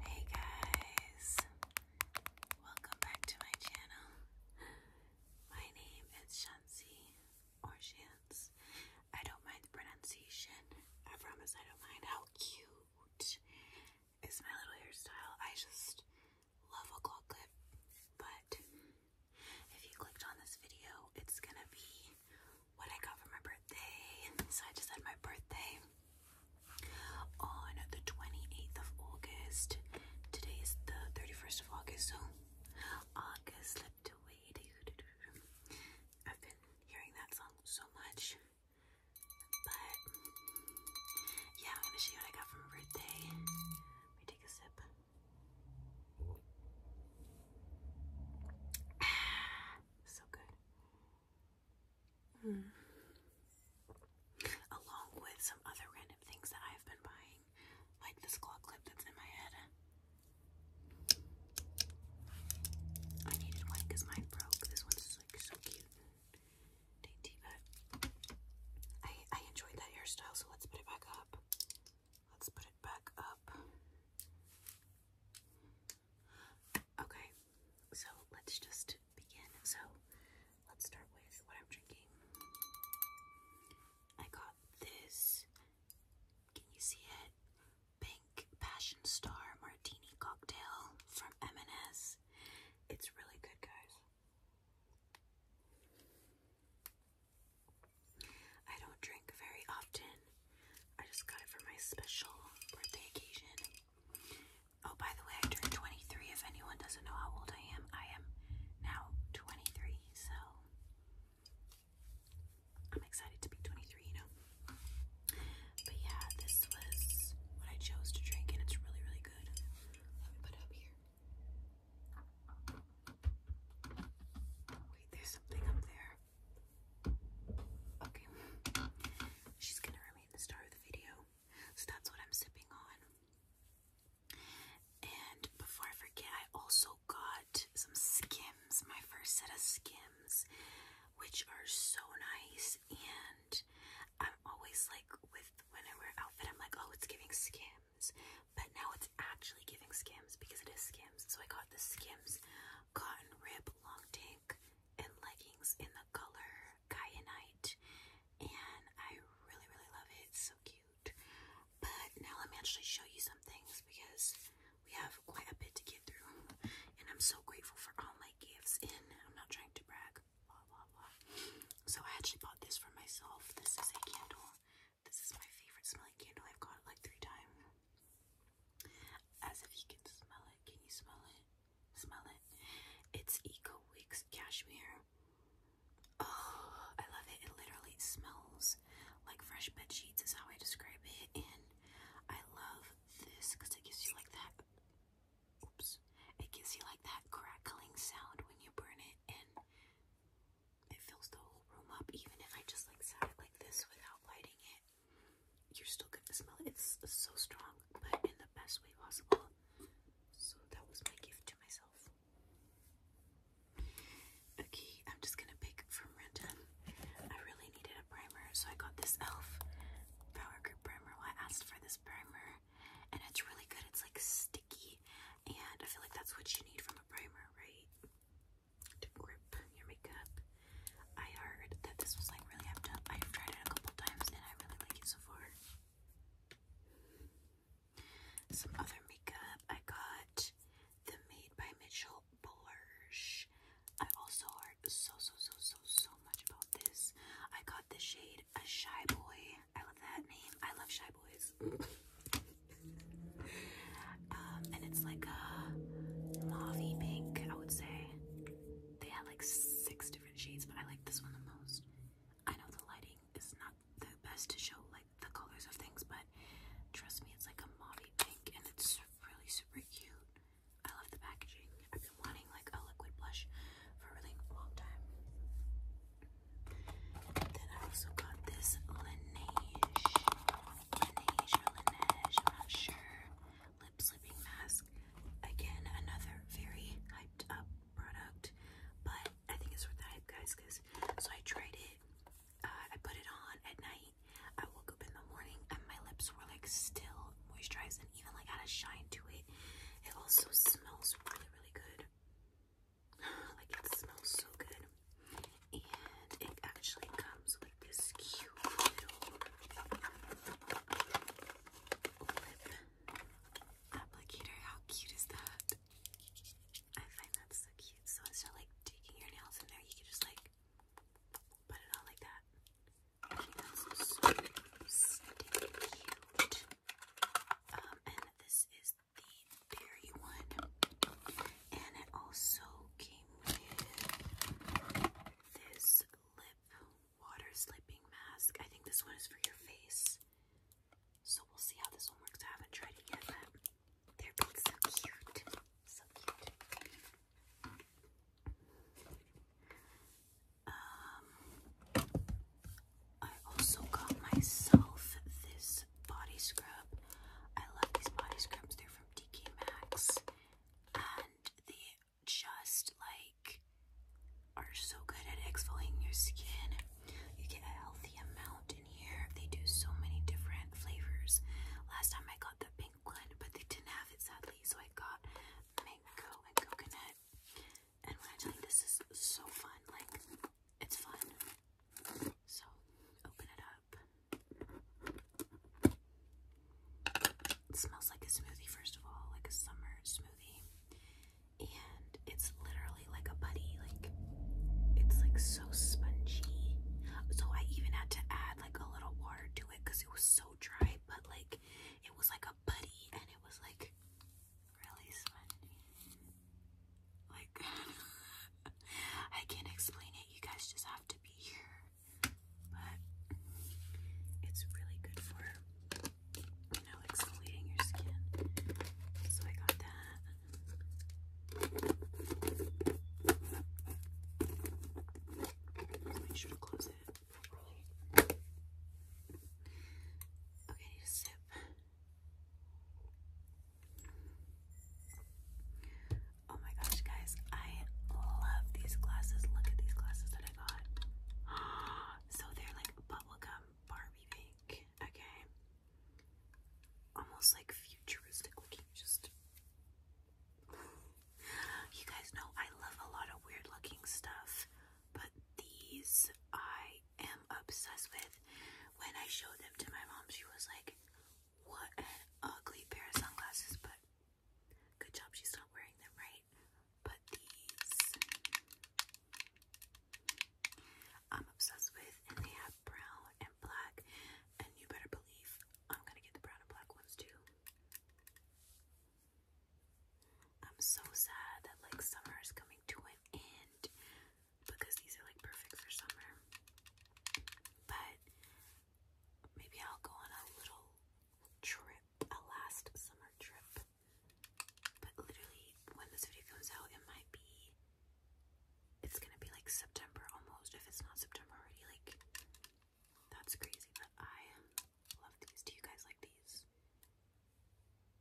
Hey guys, welcome back to my channel. My name is Shansi or Shans. I don't mind the pronunciation. I promise I don't mind. How cute is my little hairstyle? I just love a claw clip, but if you clicked on this video, it's gonna be what I got for my birthday. So I just had my birthday on the 28th of August. Today is the 31st of August, so August slipped away. I've been hearing that song so much. But yeah, I'm gonna show you what I got for my birthday. Let me take a sip. so good. Hmm. Along with some other random things that I've been buying, like this claw clip that's in my head. I needed one because mine broke. This one's like so cute dainty, but I, I enjoyed that hairstyle, so let's put it back up. Let's put it back up. Okay, so let's just begin. So let's start with what I'm drinking. I got this. Can you see it? Pink Passion Star Martini Cocktail from M&S. It's really good, guys. I don't drink very often. I just got it for my special birthday occasion. Oh, by the way, I turned 23. If anyone doesn't know how old I am, I am now 23, so I'm excited to be 23, you know? But yeah, this was what I chose to drink, and it's really, really good. Let me put it up here. Wait, there's something up there. Okay. She's gonna remain the star of the video. So that's what I'm sipping on. And before I forget, I also got some skims, my first set of skims, which are so nice. And I'm always like, with when I wear an outfit, I'm like, oh, it's giving skims. But now it's actually giving skims because it is skims. So I got the skims cotton rib long tank and leggings in the color kyanite, and I really, really love it. It's so cute. But now let me actually show you some things because we have quite a bit to get through, and I'm so grateful for all my gifts. And I'm not trying to brag, blah blah blah. So I actually bought this for myself. This is a candle. This is my favorite smelling candle. I've got like three times. As if you can smell it. Can you smell it? Smell it. It's Eco Wicks Cashmere. Oh, I love it. It literally smells like fresh bed sheets, is how I describe it. And I love this because it gives you like that. Oops. It gives you like that crackling sound when you burn it, and it fills the whole room up, even if I just like sat it like this without lighting it you're still gonna smell it. It's so strong, but in the best way possible. So that was my gift to myself. Okay, I'm just gonna pick from random. I really needed a primer, so I got this e.l.f. Power Grip Primer. Well, I asked for this primer, and it's really good. It's like sticky, and I feel like that's what you need from a primer, right? to grip your makeup. I heard that this was like really amped up. I've tried it a couple times and I really like it so far. Some other makeup I got the Made by Mitchell blush. I also heard so so so so so much about this. I got the shade a shy boy. I love that name. I love shy boys. Um, and it's like a mauvey pink, I would say. They had like six different shades, but I like this one the most. I know the lighting is not the best to show like the colors of things, but trust me, it's like a mauvey pink and it's really super cute. I love the packaging. I've been wanting like a liquid blush for a really long time. Then I also got this Laneige Laneige I'm not sure. Lip sleeping mask. Again, another very hyped up product, but I think it's worth the hype, guys. Cause so I tried it. I put it on at night. I woke up in the morning and my lips were like still moisturized and even like had a shine to it. It also smells really, really good. like it smells so good and it actually comes with this cute little lip applicator. How cute is that? I find that so cute. So instead of like taking your nails in there, you can just like put it on like that. that's so cute. Um, and this is the berry one and it also came with this lip water slipping mask. I think this one is for your face. So we'll see how this one works. I haven't tried it yet, they're both so cute. So cute. Um I also got myself this body scrub. I love these body scrubs. They're from TK and they just like are so good at exfoliating your skin. You get a healthy amount in here. They do so many different flavors. Last time I got the pink one, but they didn't have it sadly, so I got mango and coconut. And when I tell you this is so fun, like it's fun. So open it up. It smells like a smoothie, first of all, like a summer smoothie. And it's literally like a buddy, like it's like so spongy. So I even had to add like a little water to it because it was so dry, but like it was like a buddy and it was like really spongy. Like I can't explain it. You guys just have to be here. But it's really good for, you know, exfoliating your skin. So I got that. Make sure to close it properly. Okay, I sip. Oh my gosh, guys, I love these glasses. Look at these glasses that I got. So they're like bubblegum Barbie pink, okay? Almost like futuristic looking, just. you guys know I love a lot of weird looking stuff, but these I am obsessed with. When I showed them to my mom, she was like, what an ugly pair of sunglasses, but good job she's not wearing them, right? But these I'm obsessed with, and they have brown and black, and you better believe I'm gonna get the brown and black ones too. I'm so sad that like summer is coming to an end because these are like perfect for summer. But Maybe I'll go on a little trip, a last summer trip. But literally, when this video comes out, it might be. It's gonna be like September almost, if it's not September already. Like, that's crazy, but I love these. Do you guys like these?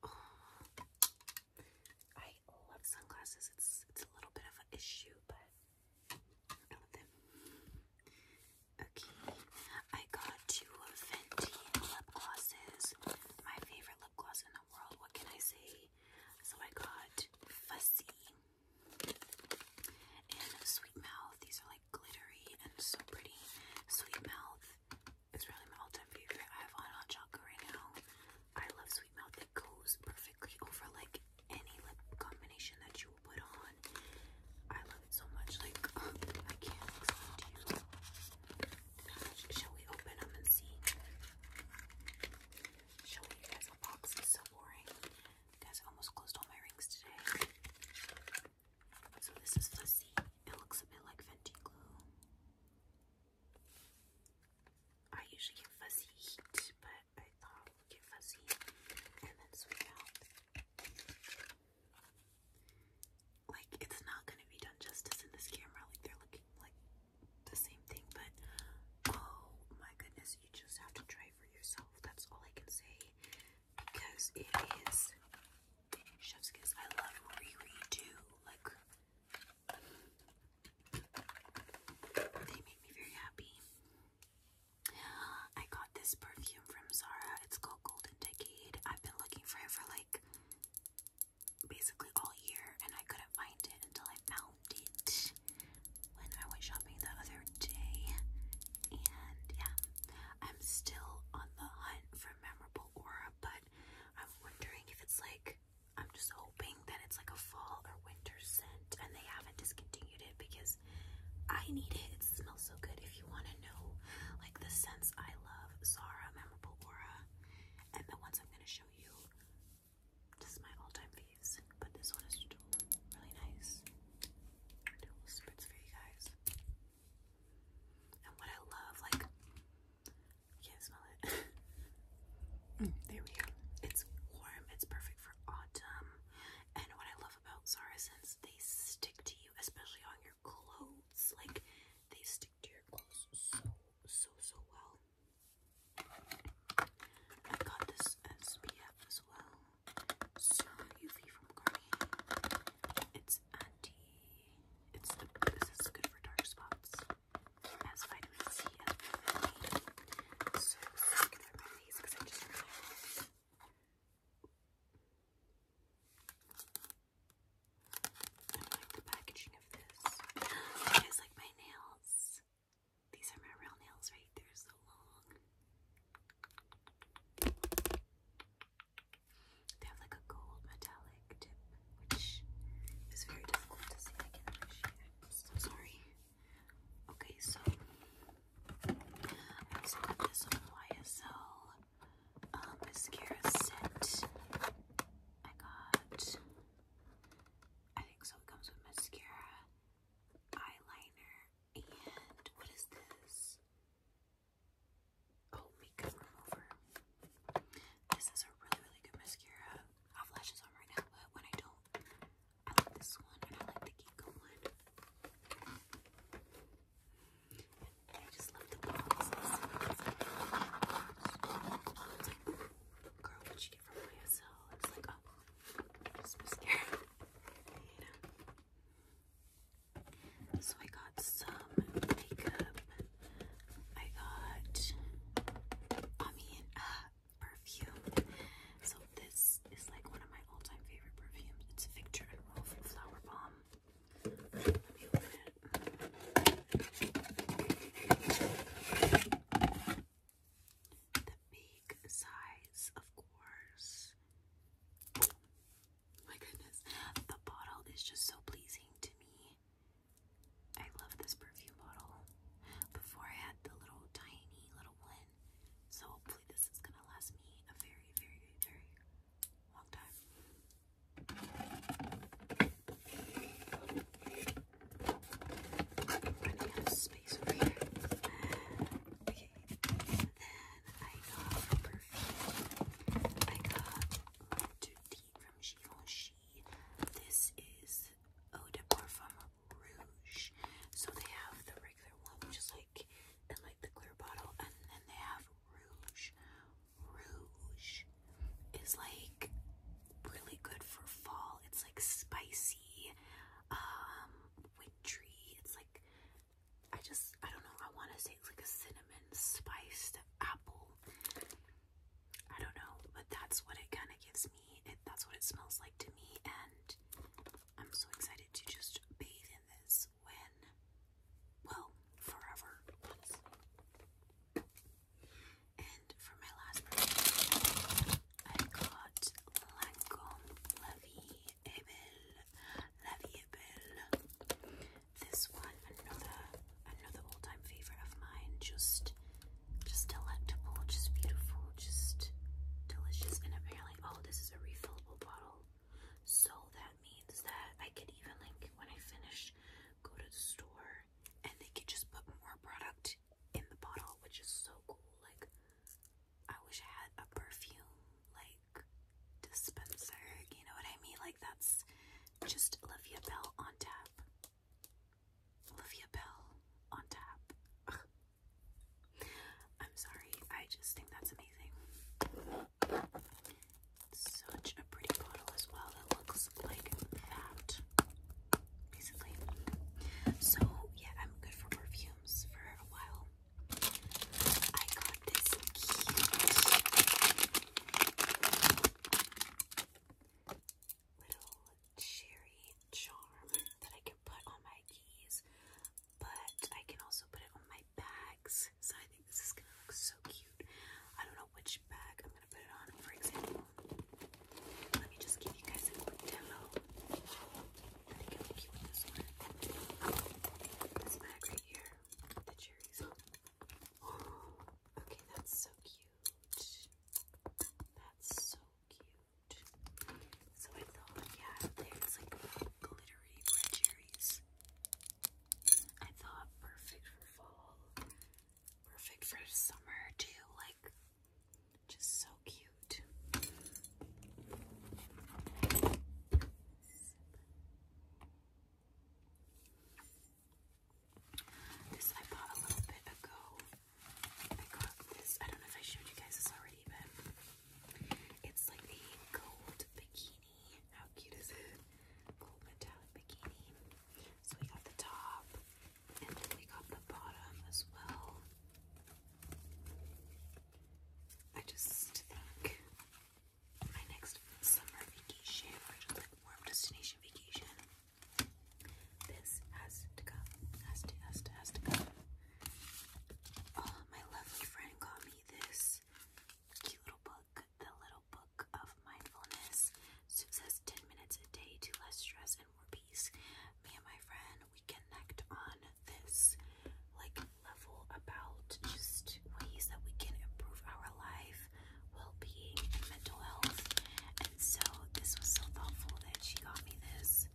I love sunglasses. It's it's a little bit of an issue, but Okay, I got two Fenty lip glosses. My favorite lip gloss in the world. What can I say? So I got Fussy and Sweet Mouth. These are like glittery and so pretty. Sweet Mouth is really my all-time favorite. I have on hot chocolate right now. I love Sweet Mouth. It goes perfectly over like any lip combination that you will put on. I love it so much. Like uh, I can't explain to you. Shall we open them and see? Shall we? You guys, a box so boring. guys, I almost closed all my rings today. So this is fuzzy. It looks a bit like Fenty glue. I usually get fuzzy heat, but I thought get fuzzy and then swing out. Like, it's not gonna be done justice in this camera. Like, they're looking like the same thing, but oh my goodness, you just have to try for yourself. That's all I can say because it is chef's kiss. I love Riri too. Like, they make me very happy. I got this perfume from Zara. It's called Golden Decade. I've been looking for it for like basically all year and I couldn't find it until I found it when I went shopping the other day. And yeah, I'm still on the hunt for memorable aura, but I'm wondering if it's like I'm just hoping that it's like a fall or winter scent and they haven't discontinued it because I need it. It smells so good. If you want to know like the scents I love, Zara, Memorable Aura, and the ones I'm going to show you, this is my all-time faves, but this one is really nice. little spritz for you guys. And what I love, like, you can't smell it. Mm, there we go. It's warm. It's perfect for autumn. And what I love about Zara scents, they stick to you, especially on your clothes. Like they stick to your clothes so so so well. I got this SPF as well. So UV from Garnier. It's anti. It's the. This is good for dark spots has vitamin C and vitamin A. So I'm going to these because I just realized. like the packaging of this. You guys like my nails? These are my real nails right there, so long. They have like a gold metallic tip, which is very difficult to see. I'm so sorry. Okay, so I also got this YSL uh, mascara set. I got, I think so. It comes with mascara, eyeliner, and what is this? Oh, makeup remover. This is a really, really good mascara. I have lashes on right now, but when I don't, I like this one and I like the Ginkgo one. I just love the boxes. girl, what you get from YSL? It's like, oh, mascara. You know? So I got some makeup. I got, I mean, uh, perfume. So this is like one of my all-time favorite perfumes. It's Victor and Rolf Flower The big size, of course. my goodness. The bottle is just so pleasing to me. I love this perfume bottle. Before I had the little tiny little one. So hopefully this is gonna last me a very, very, very long time. am running out of space over here. Okay. And then I got perfume. I got Dirty from Givenchy. This is Eau de Parfum Rouge. So they have the regular one, which is like and like the clear bottle, and then they have Rouge. Rouge is like really good for fall. It's like spicy, um, wintry. It's like I just I don't know. I want to say it's like a cinnamon spiced apple. I don't know, but that's what it kind of gives me that's what it smells like to me, and I'm so excited to just bathe in this when, well, forever, And for my last purchase, I got Lancome La Vie est Belle, This one, another, another all-time favorite of mine. Just just delectable, just beautiful, just delicious. And apparently, oh, this is a refillable bottle. So that means that I can even, like, when I finish, go to the store and they could just put more product in the bottle, which is so cool. Like, I wish I had a perfume, like, dispenser. You know what I mean? Like, that's just Olivia Bell on tap. Olivia Bell on tap. I'm sorry, I just think that's amazing. Such a pretty bottle as well. It looks like that, basically. So, yeah, I'm good for perfumes for a while. I got this cute little cherry charm that I can put on my keys, but I can also put it on my bags. So I think this is gonna look so cute. I don't know which bag I'm gonna put it on, for example. Let me just give you guys a demo. I think it'll be cute with this one. This bag right here, the cherries on. Oh, okay, that's so cute. That's so cute. So I thought, yeah, there's like glittery red cherries. I thought perfect for fall, perfect for summer too, like just so cute. This I bought a little bit ago I got this. I don't know if I showed you guys this already, but it's like a gold bikini. How cute is it? Gold metallic bikini. So we got the top, and then we got the bottom as well. I just think my next summer vacation, or just like warm destination vacation, this has to go. Has to, has to, has to go. Oh, my lovely friend got me this cute little book, The Little Book of Mindfulness. it says 10 minutes a day to less stress and more peace. Me my friend, we connect on this like level about just ways that we can improve our life, well being, mental And so this was so thoughtful that she got me this.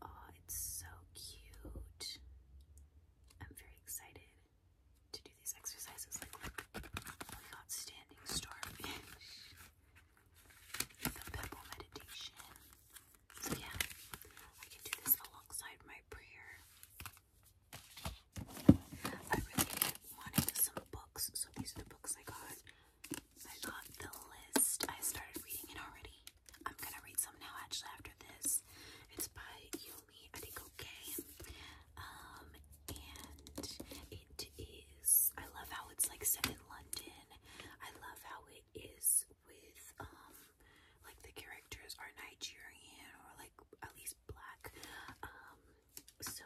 Oh, it's so cute. I'm very excited to do these exercises. Like, oh standing starfish, the pebble meditation. So, yeah, I can do this alongside my prayer. I really wanted some books, so these are the books I got. I got the list. I started reading it already. I'm gonna read some now actually after this. It's by Yumi Adikoke. Um and it is I love how it's like set in London. I love how it is with um like the characters are Nigerian or like at least black. Um so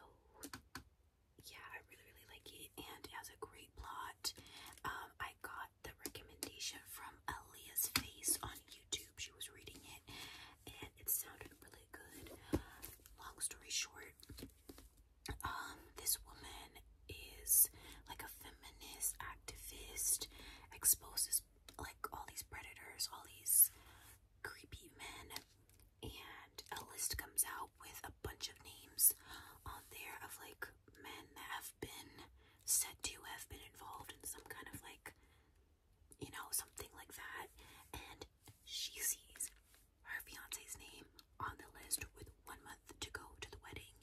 yeah, I really, really like it, and it has a great plot. Um, I got the recommendation from Aaliyah's Face on YouTube. She was reading it, and it sounded really good. Long story short, um, this woman is like a feminist activist, exposes like all these predators, all these creepy men and a list comes out with a bunch of names on there of like men that have been said to have been involved in some kind of like you know something like that and she sees her fiance's name on the list with one month to go to the wedding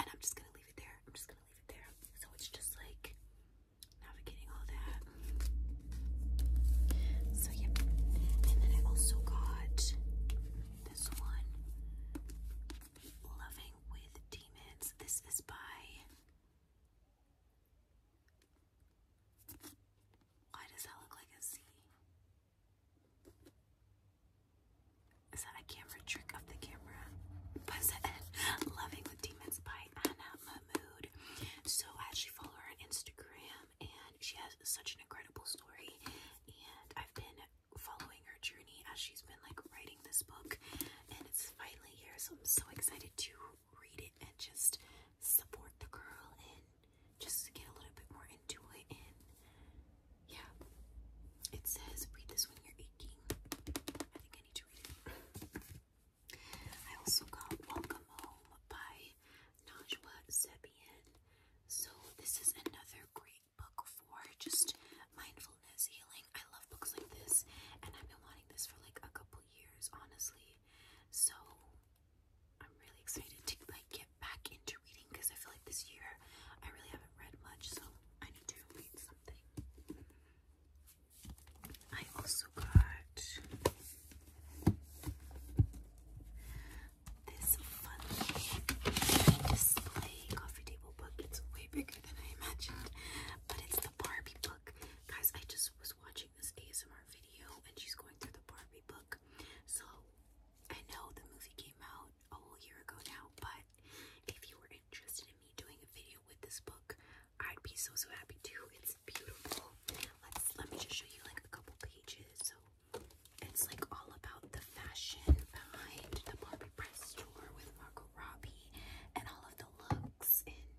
and i'm just gonna leave it there i'm just gonna leave it there so it's just like navigating all that so yeah. And then I also got this one. Loving with Demons. This is by why does that look like a Z? Is that a camera trick of the camera? Loving with Demons by Anna Mahmood. So I actually follow her on Instagram and she has such an incredible story. And I've been following her journey as she's been like writing this book, and it's finally here. So I'm so excited to read it and just support the girl and just get a little bit more into it. And yeah, it says read this when you're aching. I think I need to read it. I also got Welcome Home by Najwa Zebian. So this is another great book for just mindfulness healing. I love books like this, and I've been wanting this for like a couple years, honestly. So I'm really excited to like get back into reading because I feel like this year I really haven't read much, so I need to read something. I also got this fun coffee table book. It's way bigger than I imagined, but it's the Barbie book. Guys, I just was watching this ASMR video and she's going through the Barbie book. So I know the movie came out a whole year ago now, but if you were interested in me doing a video with this book, I'd be so so happy too. It's beautiful. Let's let me just show you like a couple pages. So it's like all about the fashion behind the Barbie press tour with Margot Robbie and all of the looks and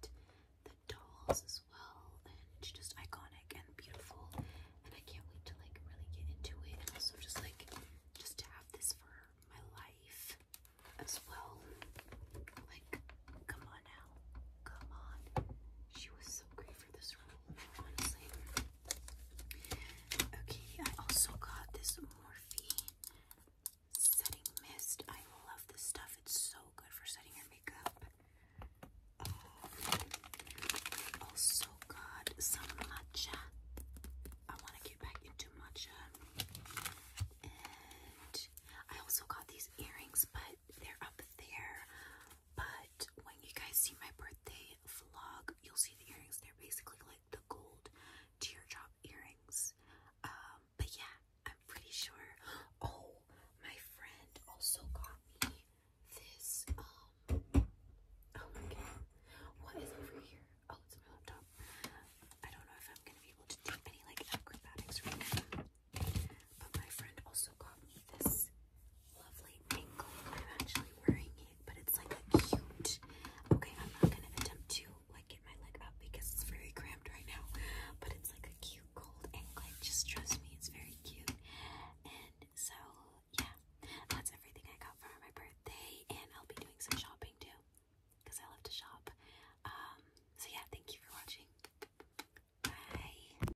the dolls as well. And just iconic and beautiful. And I can't wait to like really get into it. And also just like just have this for my life as well. Like, come on now. Come on. She was so great Okay, I also got this Morphe setting mist. I love this stuff. It's so good for setting your makeup. Um, also got some matcha. I want to get back into matcha. And I also got these earrings, but they're up there. But when you guys see my birthday vlog, you'll see the earrings. They're basically like the gold teardrop earrings. Um, but yeah, I'm pretty sure. Oh, my friend also got me this. Um, oh, what is over here? Oh, it's my laptop. I don't know if I'm gonna be able to do any like acrobatics right now. But my friend also got me this lovely anklet. I'm actually wearing it, but it's like a cute. Okay, I'm not gonna attempt to like get my leg up because it's very cramped right now. But it's like a cute gold anklet. Just trust me, it's very cute. And so yeah, that's everything I got for my birthday, and I'll be doing some shopping too because I love to shop. Um, so yeah, thank you for watching. Bye.